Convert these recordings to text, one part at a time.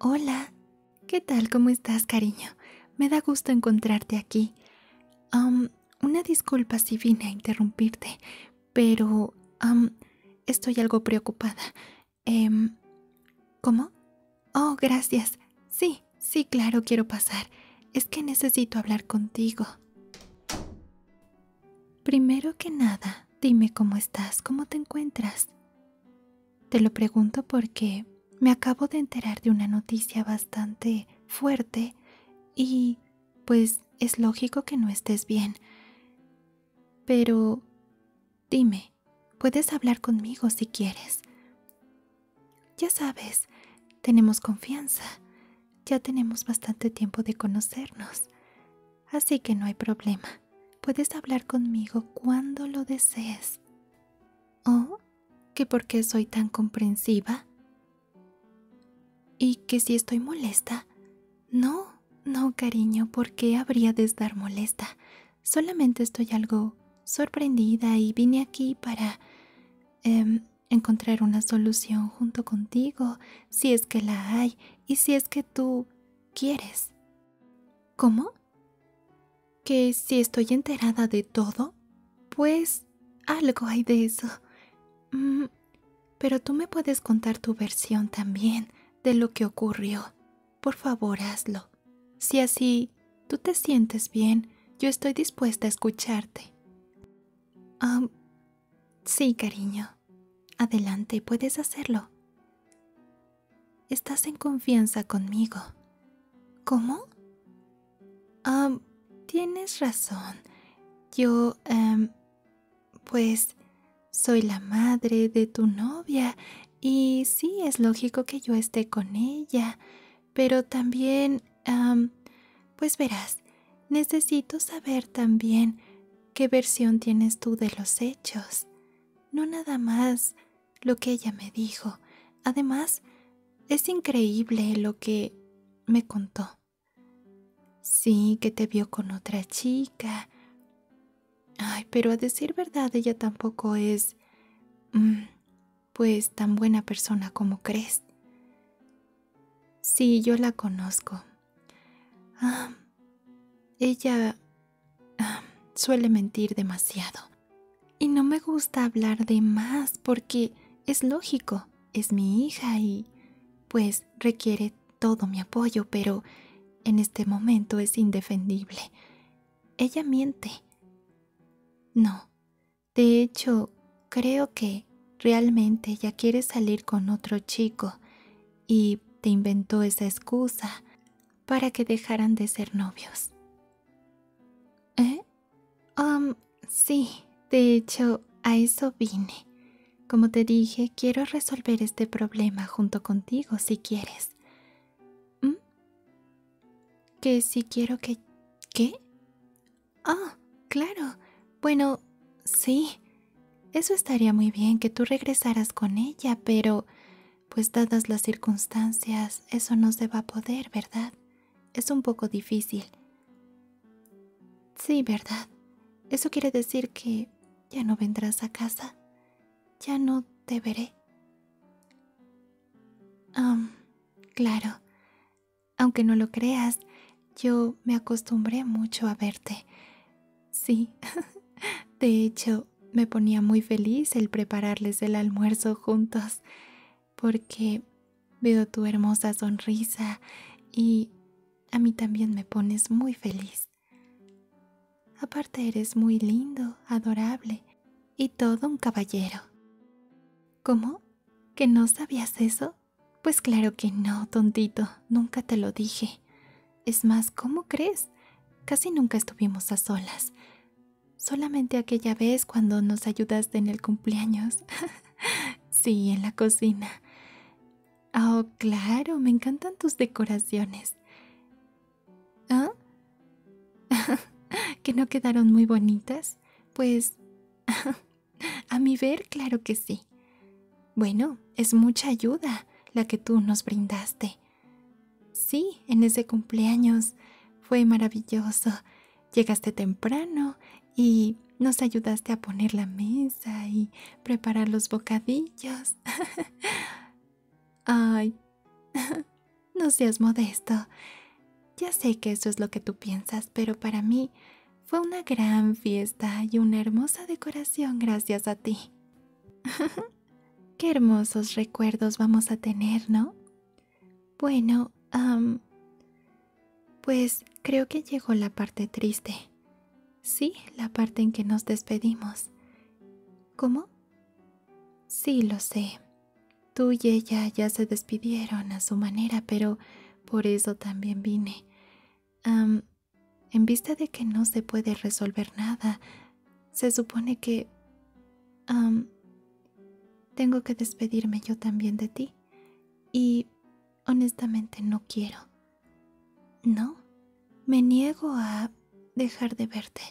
hola, ¿qué tal? ¿Cómo estás, cariño? Me da gusto encontrarte aquí. Um, una disculpa si vine a interrumpirte, pero estoy algo preocupada. Em, ¿Cómo? Oh, gracias. Sí, sí, claro, quiero pasar. Es que necesito hablar contigo. Primero que nada, dime cómo estás, cómo te encuentras. Te lo pregunto porque me acabo de enterar de una noticia bastante fuerte y pues es lógico que no estés bien. Pero dime, puedes hablar conmigo si quieres. Ya sabes, tenemos confianza ya tenemos bastante tiempo de conocernos, así que no hay problema. Puedes hablar conmigo cuando lo desees. ¿O ¿Que por qué soy tan comprensiva? ¿Y que si estoy molesta? No, no, cariño, ¿por qué habría de estar molesta? Solamente estoy algo sorprendida y vine aquí para... Em, encontrar una solución junto contigo si es que la hay y si es que tú quieres. ¿Cómo? ¿Que si estoy enterada de todo? Pues algo hay de eso. Mm, pero tú me puedes contar tu versión también de lo que ocurrió. Por favor, hazlo. Si así tú te sientes bien, yo estoy dispuesta a escucharte. Ah, sí, cariño. Adelante, puedes hacerlo. Estás en confianza conmigo. ¿Cómo? Ah, tienes razón. Yo, em, pues, soy la madre de tu novia y sí es lógico que yo esté con ella, pero también... pues verás, necesito saber también qué versión tienes tú de los hechos. No nada más lo que ella me dijo. Además, es increíble lo que me contó. Sí, que te vio con otra chica. Ay, pero a decir verdad, ella tampoco es... Mm, pues tan buena persona como crees. Sí, yo la conozco. Ah, ella ah, suele mentir demasiado. Y no me gusta hablar de más porque es lógico, es mi hija y pues requiere todo mi apoyo, pero en este momento es indefendible. Ella miente. No, de hecho, creo que realmente ya quieres salir con otro chico y te inventó esa excusa para que dejaran de ser novios. ¿Eh? Um, sí, de hecho, a eso vine. Como te dije, quiero resolver este problema junto contigo si quieres. ¿Mm? Que si quiero que... ¿Qué? Ah, claro. Bueno, sí. Eso estaría muy bien que tú regresaras con ella, pero... Pues dadas las circunstancias, eso no se va a poder, ¿verdad? Es un poco difícil. Sí, ¿verdad? Eso quiere decir que ya no vendrás a casa. Ya no te veré. Um, Claro, aunque no lo creas, yo me acostumbré mucho a verte. Sí, de hecho, me ponía muy feliz el prepararles el almuerzo juntos, porque veo tu hermosa sonrisa y a mí también me pones muy feliz. Aparte eres muy lindo, adorable y todo un caballero. ¿Cómo? ¿Que no sabías eso? Pues claro que no, tontito, nunca te lo dije. Es más, ¿cómo crees? Casi nunca estuvimos a solas. Solamente aquella vez cuando nos ayudaste en el cumpleaños. sí, en la cocina. Oh, claro, me encantan tus decoraciones. ¿Ah? ¿Que no quedaron muy bonitas? Pues... a mi ver, claro que sí. Bueno, es mucha ayuda la que tú nos brindaste. Sí, en ese cumpleaños fue maravilloso. Llegaste temprano y nos ayudaste a poner la mesa y preparar los bocadillos. Ay, no seas modesto. Ya sé que eso es lo que tú piensas, pero para mí fue una gran fiesta y una hermosa decoración gracias a ti. Qué hermosos recuerdos vamos a tener, ¿no? Bueno, pues creo que llegó la parte triste. Sí, la parte en que nos despedimos. ¿Cómo? Sí, lo sé. Tú y ella ya se despidieron a su manera, pero por eso también vine. en vista de que no se puede resolver nada, se supone que... tengo que despedirme yo también de ti. Y honestamente no quiero. No, me niego a dejar de verte.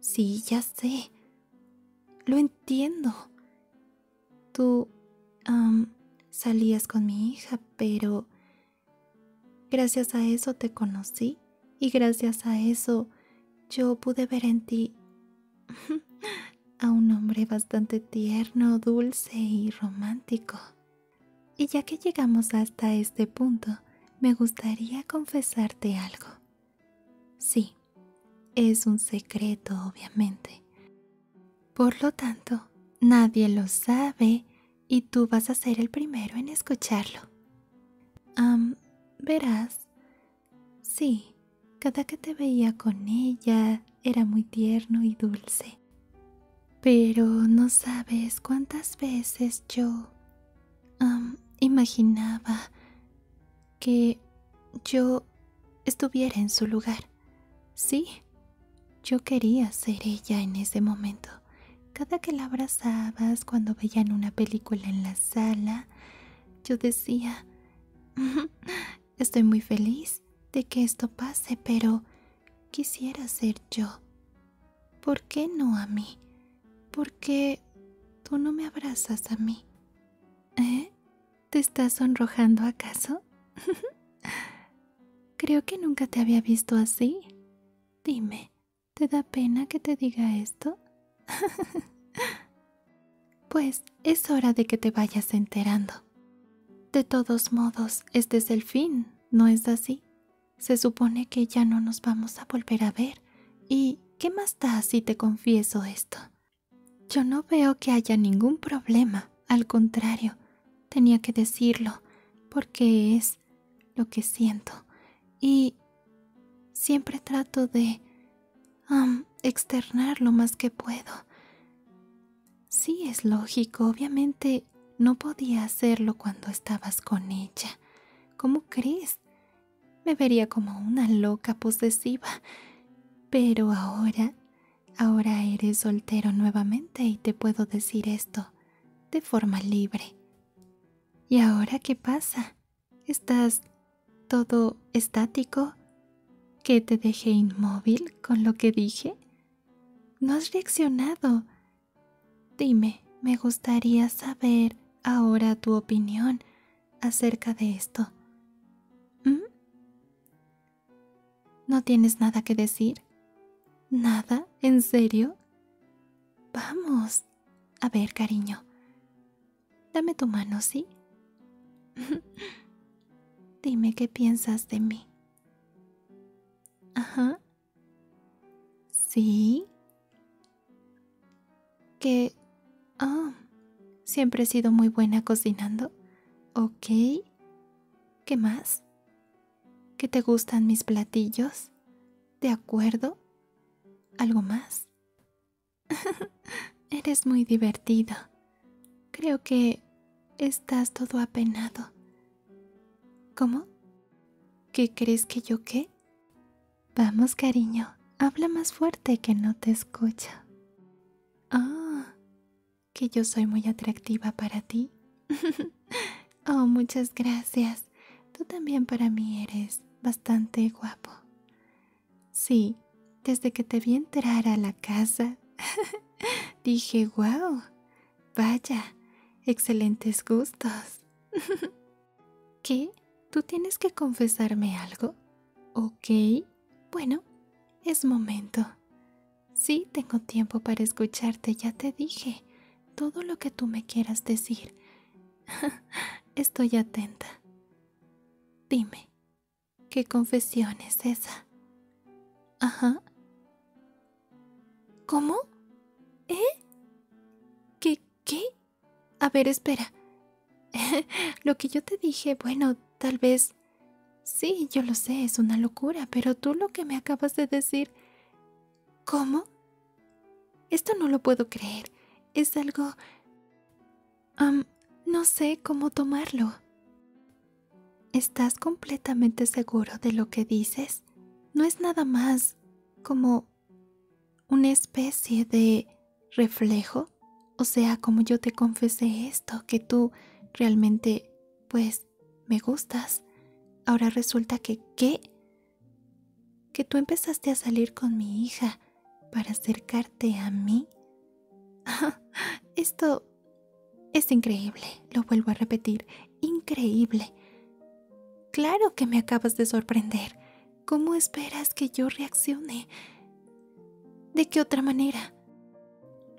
Sí, ya sé. Lo entiendo. Tú salías con mi hija, pero gracias a eso te conocí y gracias a eso yo pude ver en ti a un hombre bastante tierno, dulce y romántico. Y ya que llegamos hasta este punto, me gustaría confesarte algo. Sí, es un secreto, obviamente. Por lo tanto, nadie lo sabe y tú vas a ser el primero en escucharlo. Um, verás, sí, cada que te veía con ella era muy tierno y dulce. Pero no sabes cuántas veces yo imaginaba que yo estuviera en su lugar. Sí, yo quería ser ella en ese momento. Cada que la abrazabas cuando veían una película en la sala, yo decía, estoy muy feliz de que esto pase, pero quisiera ser yo. ¿Por qué no a mí? porque tú no me abrazas a mí. ¿Eh? ¿Te estás sonrojando acaso? Creo que nunca te había visto así. Dime, ¿te da pena que te diga esto? pues es hora de que te vayas enterando. De todos modos, este es el fin, ¿no es así? Se supone que ya no nos vamos a volver a ver. ¿Y qué más da si te confieso esto? Yo no veo que haya ningún problema, al contrario, tenía que decirlo, porque es lo que siento. Y siempre trato de externar lo más que puedo. Sí, es lógico, obviamente no podía hacerlo cuando estabas con ella. ¿Cómo crees? Me vería como una loca posesiva. Pero ahora, ahora eres soltero nuevamente y te puedo decir esto de forma libre. ¿Y ahora qué pasa? ¿Estás todo estático? ¿Que te dejé inmóvil con lo que dije? No has reaccionado. Dime, me gustaría saber ahora tu opinión acerca de esto. ¿Mm? ¿No tienes nada que decir? ¿Nada? ¿En serio? Vamos. A ver, cariño. Dame tu mano, ¿sí? Dime qué piensas de mí. Ajá. ¿Sí? Que... Ah, siempre he sido muy buena cocinando. Ok. ¿Qué más? ¿Que te gustan mis platillos? ¿De acuerdo? ¿Algo más? Eres muy divertido. Creo que estás todo apenado. ¿Cómo? ¿Qué crees que yo qué? Vamos, cariño, habla más fuerte que no te escucha. Ah, que yo soy muy atractiva para ti. oh, muchas gracias. Tú también para mí eres bastante guapo. Sí, desde que te vi entrar a la casa, dije, wow, Vaya, excelentes gustos. ¿Qué? ¿Tú tienes que confesarme algo? Ok, bueno, es momento. Sí, tengo tiempo para escucharte, ya te dije. Todo lo que tú me quieras decir. Estoy atenta. Dime, ¿qué confesión es esa? Ajá. ¿Cómo? ¿Eh? ¿Qué? ¿Qué? A ver, espera. lo que yo te dije, bueno, tal vez... Sí, yo lo sé, es una locura, pero tú lo que me acabas de decir... ¿Cómo? Esto no lo puedo creer. Es algo... no sé cómo tomarlo. ¿Estás completamente seguro de lo que dices? No es nada más como una especie de reflejo. O sea, como yo te confesé esto, que tú realmente, pues, me gustas. Ahora resulta que, ¿qué? Que tú empezaste a salir con mi hija para acercarte a mí. esto es increíble, lo vuelvo a repetir, increíble. Claro que me acabas de sorprender. ¿Cómo esperas que yo reaccione? ¿De qué otra manera?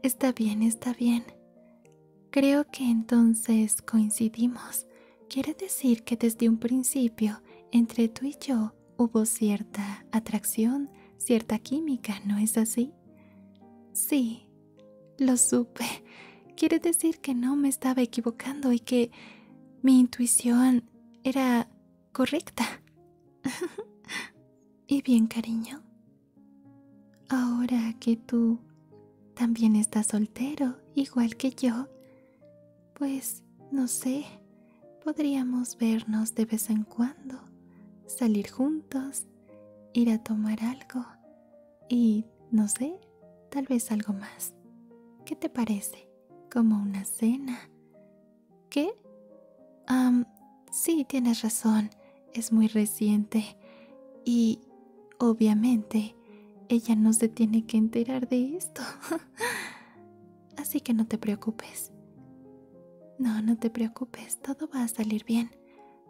Está bien, está bien. Creo que entonces coincidimos. Quiere decir que desde un principio entre tú y yo hubo cierta atracción, cierta química, ¿no es así? Sí, lo supe. Quiere decir que no me estaba equivocando y que mi intuición era correcta. y bien, cariño. Ahora que tú también estás soltero, igual que yo, pues no sé, podríamos vernos de vez en cuando, salir juntos ir a tomar algo y, no sé, tal vez algo más. ¿Qué te parece? Como una cena. ¿Qué? Um, sí, tienes razón, es muy reciente y, obviamente, ella no se tiene que enterar de esto. Así que no te preocupes. No, no te preocupes, todo va a salir bien.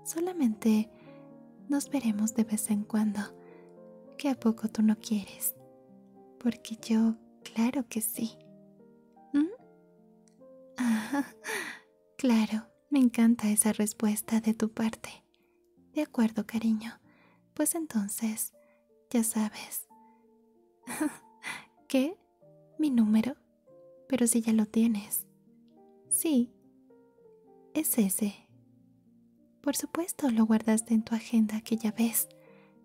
Solamente nos veremos de vez en cuando. ¿Qué a poco tú no quieres? Porque yo, claro que sí. ¿Mm? claro, me encanta esa respuesta de tu parte. De acuerdo, cariño. Pues entonces, ya sabes. ¿Qué? ¿Mi número? Pero si ya lo tienes. Sí, es ese. Por supuesto, lo guardaste en tu agenda aquella vez,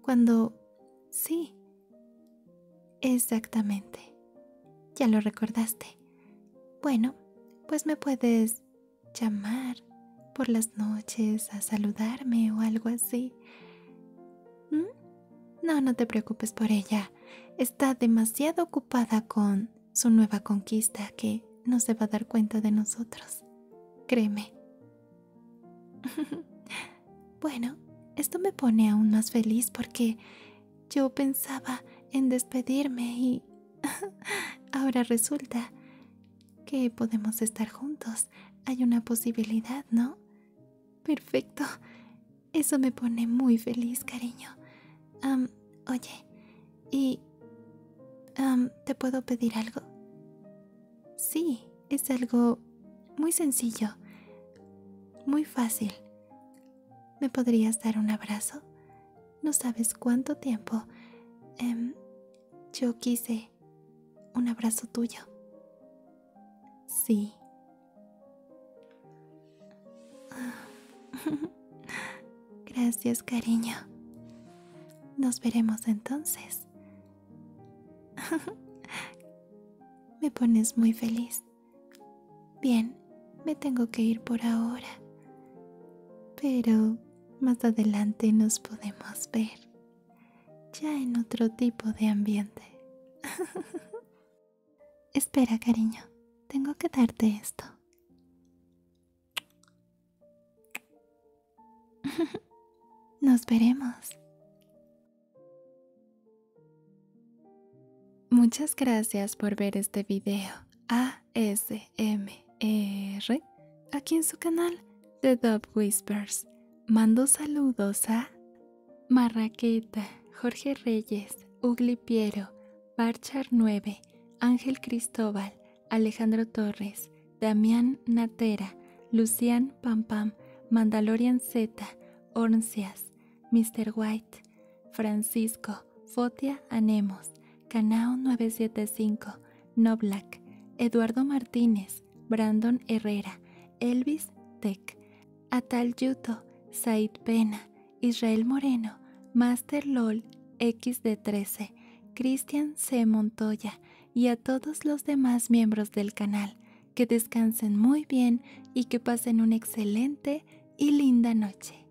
Cuando... Sí. Exactamente. Ya lo recordaste. Bueno, pues me puedes llamar por las noches a saludarme o algo así. ¿Mm? No, no te preocupes por ella. Está demasiado ocupada con su nueva conquista que no se va a dar cuenta de nosotros. Créeme. bueno, esto me pone aún más feliz porque yo pensaba en despedirme y ahora resulta que podemos estar juntos. Hay una posibilidad, ¿no? Perfecto. Eso me pone muy feliz, cariño. oye, ¿y te puedo pedir algo? Sí, es algo muy sencillo, muy fácil. ¿Me podrías dar un abrazo? No sabes cuánto tiempo em, yo quise un abrazo tuyo. Sí. Gracias, cariño. Nos veremos entonces. me pones muy feliz. Bien, me tengo que ir por ahora. Pero más adelante nos podemos ver, ya en otro tipo de ambiente. Espera, cariño, tengo que darte esto. Nos veremos. Muchas gracias por ver este video ASMR aquí en su canal The Dub Whispers. Mando saludos a Marraqueta, Jorge Reyes, Ugli Piero, Barchar 9, Ángel Cristóbal, Alejandro Torres, Damián Natera, Lucian Pampam, Mandalorian Z, Orncias, Mr. White, Francisco, Fotia Anemos, Canao 975, Noblack, Eduardo Martínez, Brandon Herrera, Elvis Tech, Atal Yuto, Said Pena, Israel Moreno, Master LOL XD13, Cristian C. Montoya y a todos los demás miembros del canal. Que descansen muy bien y que pasen una excelente y linda noche.